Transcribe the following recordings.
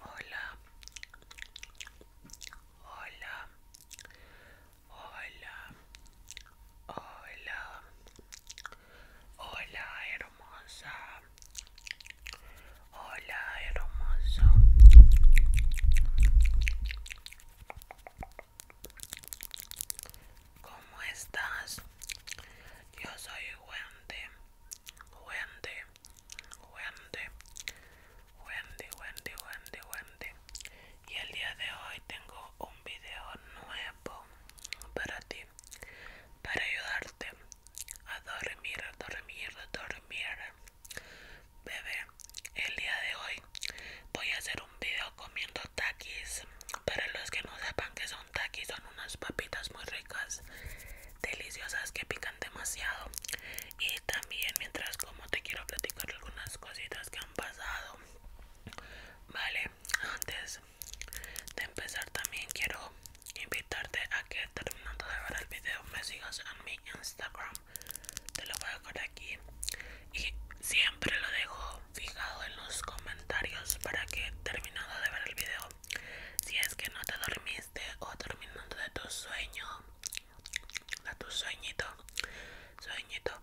Hola, hola, hola, hola, hola hermosa, hola hermoso. ¿Cómo estás? Yo soy Wendy, Wendy, Wendy, Wendy, Wendy, Wendy, Wendy. Y el día de hoy tengo un video nuevo para ti, para ayudarte a dormir, a dormir, a dormir. Bebé, el día de hoy voy a hacer un video comiendo takis. Para los que no sepan que son takis, son unas papitas muy ricas, deliciosas que pican demasiado. Y también mientras como te quiero platicar algunas cositas que han pasado. Vale, antes de empezar también quiero invitarte a que terminando de ver el video me sigas en mi Instagram te lo voy a dejar aquí y siempre lo dejo fijado en los comentarios para que terminado de ver el video si es que no te dormiste o terminando de tu sueño de tu sueñito sueñito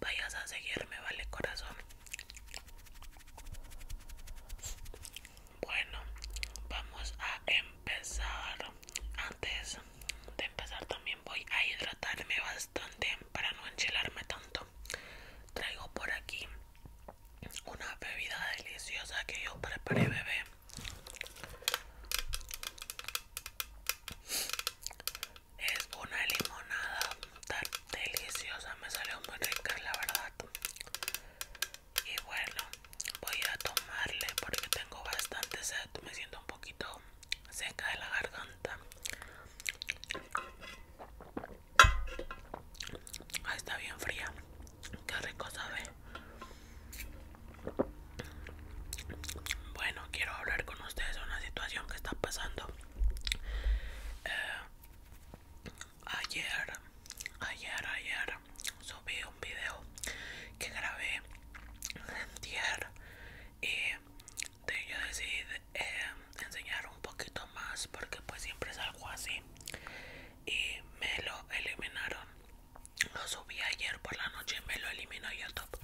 vayas a seguirme vale corazón bueno vamos a empezar antes de empezar también voy a hidratarme para no enchilarme tanto. Traigo por aquí una bebida deliciosa que yo preparé, bebé. Es una limonada tan deliciosa, me salió muy rica, la verdad. Y bueno, voy a tomarle porque tengo bastante sed, me siento un poquito seca de la garganta. Ah, está bien fría. Qué rico sabe. Bueno, quiero hablar con ustedes de una situación que está pasando. Eh, ayer, ayer, ayer subí un video que grabé ayer y yo decidí eh, enseñar un poquito más porque pues siempre es algo así y me lo eliminaron lo subí ayer por la noche y me lo eliminó youtube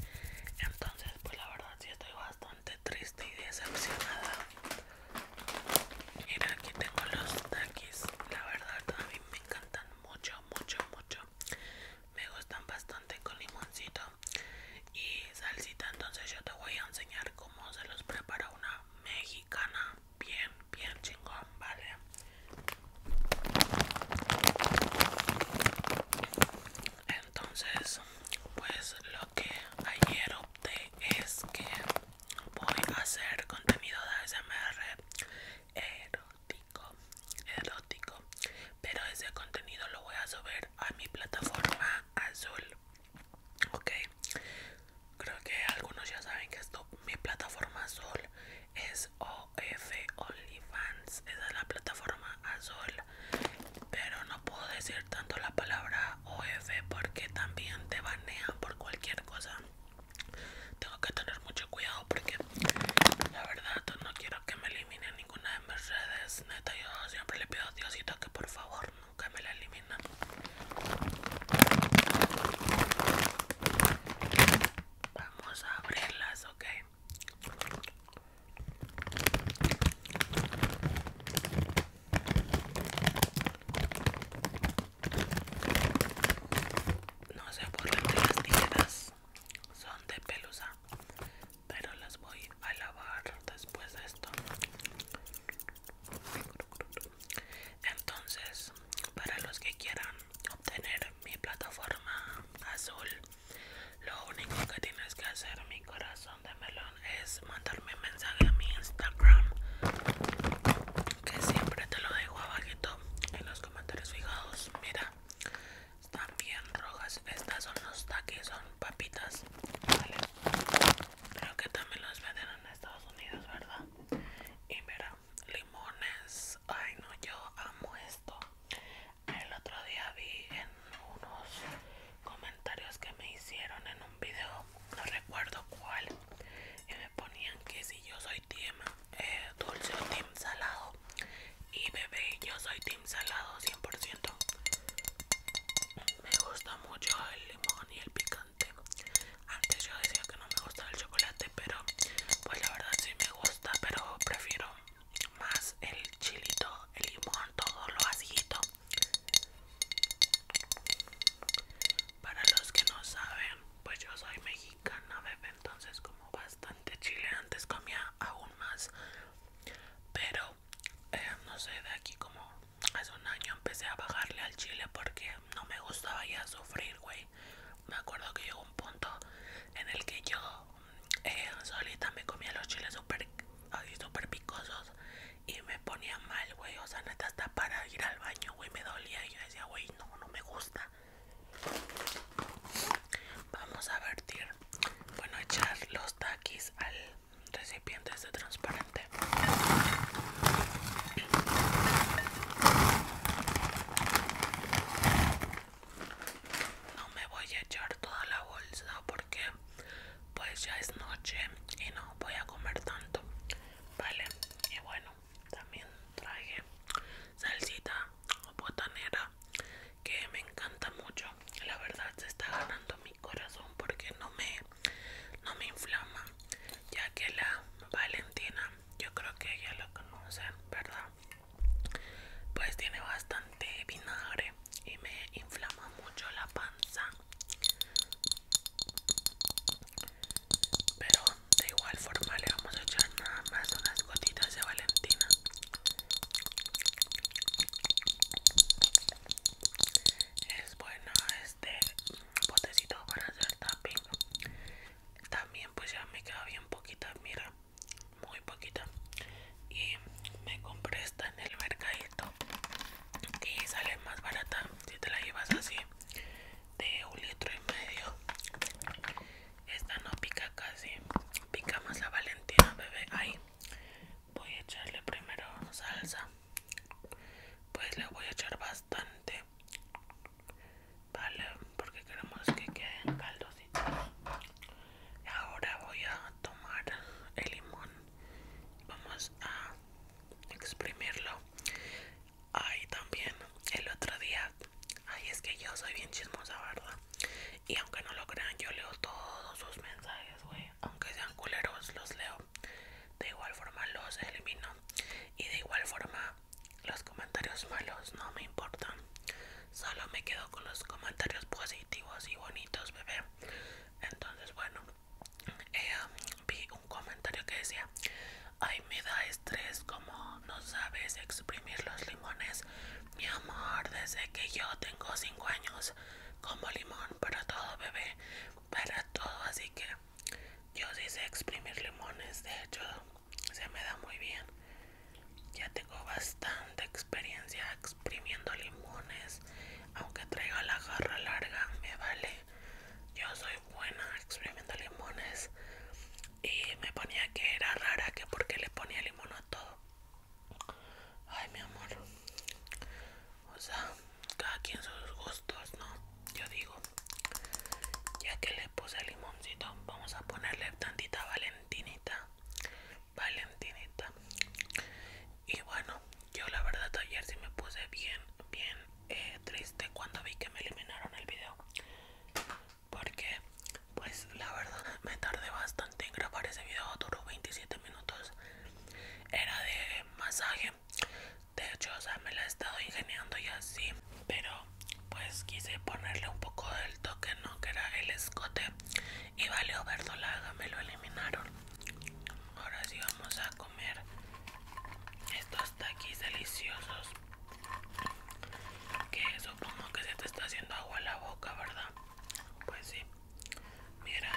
entonces pues la verdad sí estoy bastante triste y decepcionada mira aquí tengo los takis la verdad también me encantan mucho mucho mucho me gustan bastante con limoncito y salsita entonces yo te voy a enseñar cómo se los prepara una mexicana bien bien chingón vale entonces pues lo que ayer opté es que voy a hacer contenido de SMR erótico pero ese contenido lo voy a subir a mi plataforma azul. Ok, creo que algunos ya saben que esto, mi plataforma azul es OF OnlyFans, esa es la plataforma azul, pero no puedo decir tanto la palabra OF porque también te banean por cualquier cosa. Tengo que tener mucho cuidado porque la verdad no quiero que me eliminen ninguna Mercedes, neta, yo siempre le pido a Diosito que por favor nunca me la elimine Vamos a abrirlas, ok. No sé por qué las tijeras son de pelusa pero las voy a lavar después de esto entonces para los que quieran obtener mi plataforma azul lo único que tienes que hacer mi corazón de melón es mandarme un mensaje a mi instagram que siempre te lo dejo abajito en los comentarios fijados mira también rojas estas son los taquis son papitas vale. creo que también los venden en Estados Unidos verdad y mira limones ay no yo amo esto el otro día vi en unos comentarios que me hicieron en un video no recuerdo cuál y me ponían que si yo soy team eh, dulce o team salado y bebé, yo soy team salado 100%. Me gusta mucho el limón y el picante. Antes yo decía que no me gustaba el chocolate, pero pues la verdad sí me gusta, pero prefiero más el chilito, el limón, todo lo acidito. Para los que no saben, pues yo soy mexicana, bebé, entonces como bastante chile, antes comía aún más pero eh, no sé de aquí como hace un año empecé a bajarle al chile porque no me gustaba ya sufrir güey me acuerdo que llegó un punto en el que yo eh, solita me comía los chiles súper super picosos y me ponía mal güey o sea neta hasta para ir al baño güey me dolía y yo decía güey no no me gusta Vamos a vertir, bueno, echar los taquis al recipiente de este transparente. No me voy a echar toda la bolsa porque pues ya es noche y no voy a comer tanto. Vale, y bueno, también traje salsita o botanera que me encanta mucho la verdad se está ganando mi corazón porque no me no me inflama ya que la Valentina yo creo que ya lo conocen verdad pues tiene bastante vinagre y me inflama mucho la panza pero de igual forma le vamos a echar nada más unas gotitas de Valentina es bueno este botecito para hacer tapping también pues ya me queda bien poquita mira muy poquita y me compré esta en el mercadito y sale más barata si te la llevas así de un litro y medio esta no pica casi pica más la valentina bebé ahí voy a echarle primero salsa pues le voy a echar bastante vale porque queremos que queden caldositos ahora voy a tomar el limón vamos a exprimirlo ahí también el otro día ay es que yo soy bien chismosa verdad y aunque no lo crean, yo leo todos sus mensajes, güey. Aunque sean culeros, los leo. De igual forma los elimino. Y de igual forma los comentarios malos no me importan. Solo me quedo con los comentarios positivos y bonitos, bebé. Entonces, bueno, eh, vi un comentario que decía, ay, me da estrés como no sabes exprimir los limones. Mi amor, desde que yo tengo 5 años, como limón para todo, bebé, para todo, así que yo sí sé exprimir limones, de hecho, se me da muy bien. Ya tengo bastante experiencia exprimiendo limones, aunque traiga la garra larga, me vale. Yo soy buena exprimiendo limones y me ponía que era rara que porque le ponía limón a todo. Ay, mi amor. O sea, cada quien sus gustos, ¿no? Yo digo, ya que le puse limoncito, vamos a ponerle tantita valentinita. Valentinita. Y bueno, yo la verdad ayer sí me puse bien, bien eh, triste cuando vi que me eliminaron el video. Porque pues la verdad me tardé bastante en grabar ese video, duró 27 minutos. Era de masaje. De hecho, o me la he estado ingeniando y así. Pero pues quise ponerle un poco del toque, ¿no? Que era el escote. Y valió verdolaga, me lo eliminaron. Ahora sí vamos a comer estos taquis deliciosos. Que supongo que se te está haciendo agua la boca, ¿verdad? Pues sí. Mira.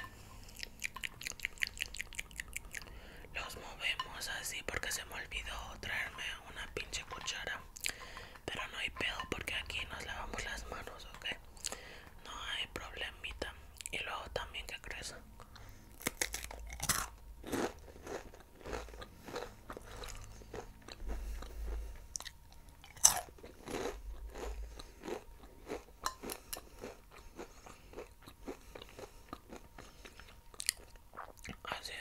Los movemos así porque se me olvidó traerme una pinche cuchara. Pero no hay pedo porque aquí nos lavamos las manos, ¿ok? No hay problemita. Y luego también que crezca. Hace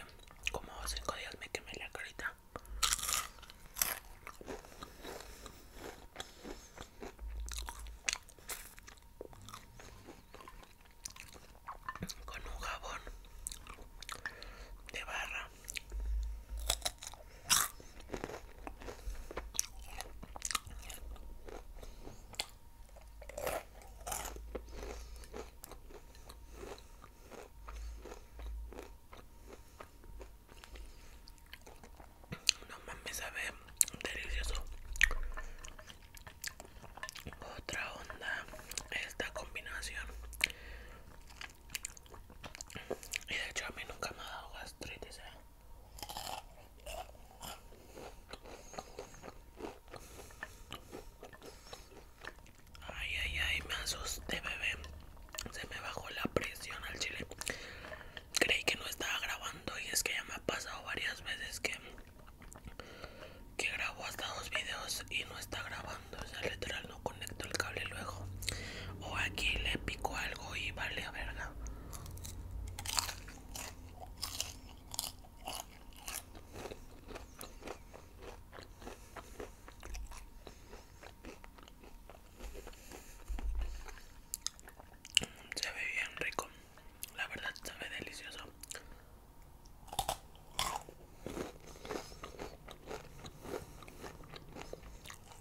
como 5 días me quemé la carita. Con un jabón de barra no mames, sabe delicioso. Otra onda esta combinación. Y de hecho a mí nunca me ha dado gastritis, ¿eh? Ay, ay, ay, me asusté, bebé. Se me bajó la presión al chile. Creí que no estaba grabando y es que ya me ha pasado varias veces que, que grabo hasta dos videos y no está grabando. O sea, literal conecto el cable luego o aquí le pico algo y vale a verga se ve bien rico la verdad sabe delicioso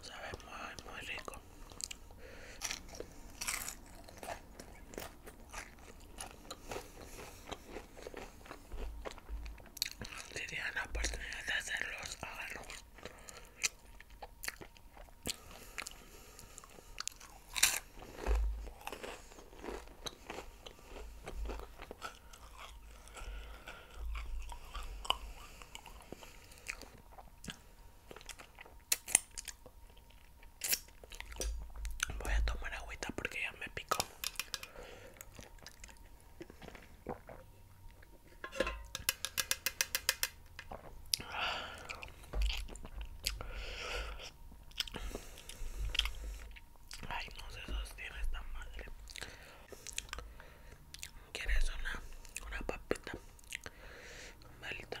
Sabe muy, muy rico si la oportunidad de hacerlos, háganlo. Voy a tomar agüita porque ya me picó. Ay, no se sostiene esta madre. Eh. ¿Quieres una, una papita? Malita.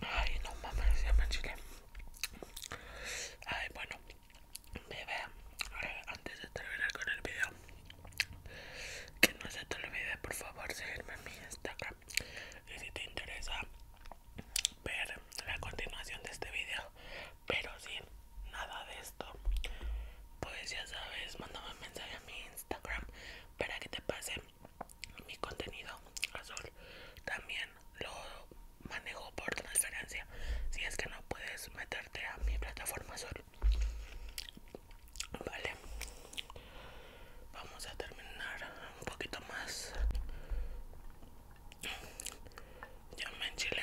Ay, no mames, ya me chile. Ay, bueno, bebé, eh, antes de terminar con el video, que no se te olvide, por favor, seguirme en mi Instagram. Y si te interesa ver la continuación de este video, pero sin nada de esto. Pues ya sabes, mándame un mensaje a mi Instagram para que te pase mi contenido azul. También lo manejo por transferencia. Si es que no puedes meterte a mi plataforma azul. Vale. Vamos a terminar un poquito más. Ya me enchile.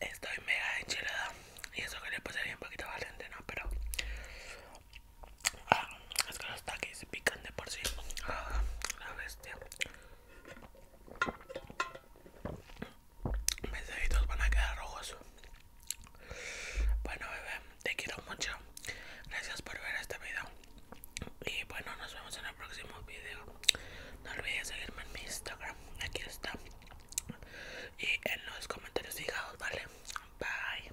Estoy mega enchilada y eso que le puse un poquito Valiente, ¿no? Pero Ah, es que los taquis pican de por sí. Ah, la bestia. Mis deditos van a quedar rojos. Bueno, bebé, te quiero mucho. Gracias por ver este video. Y bueno, nos vemos en el próximo video. No olvides seguirme en mi Instagram. Aquí está. Y en los comentarios fijados, ¿vale? Bye.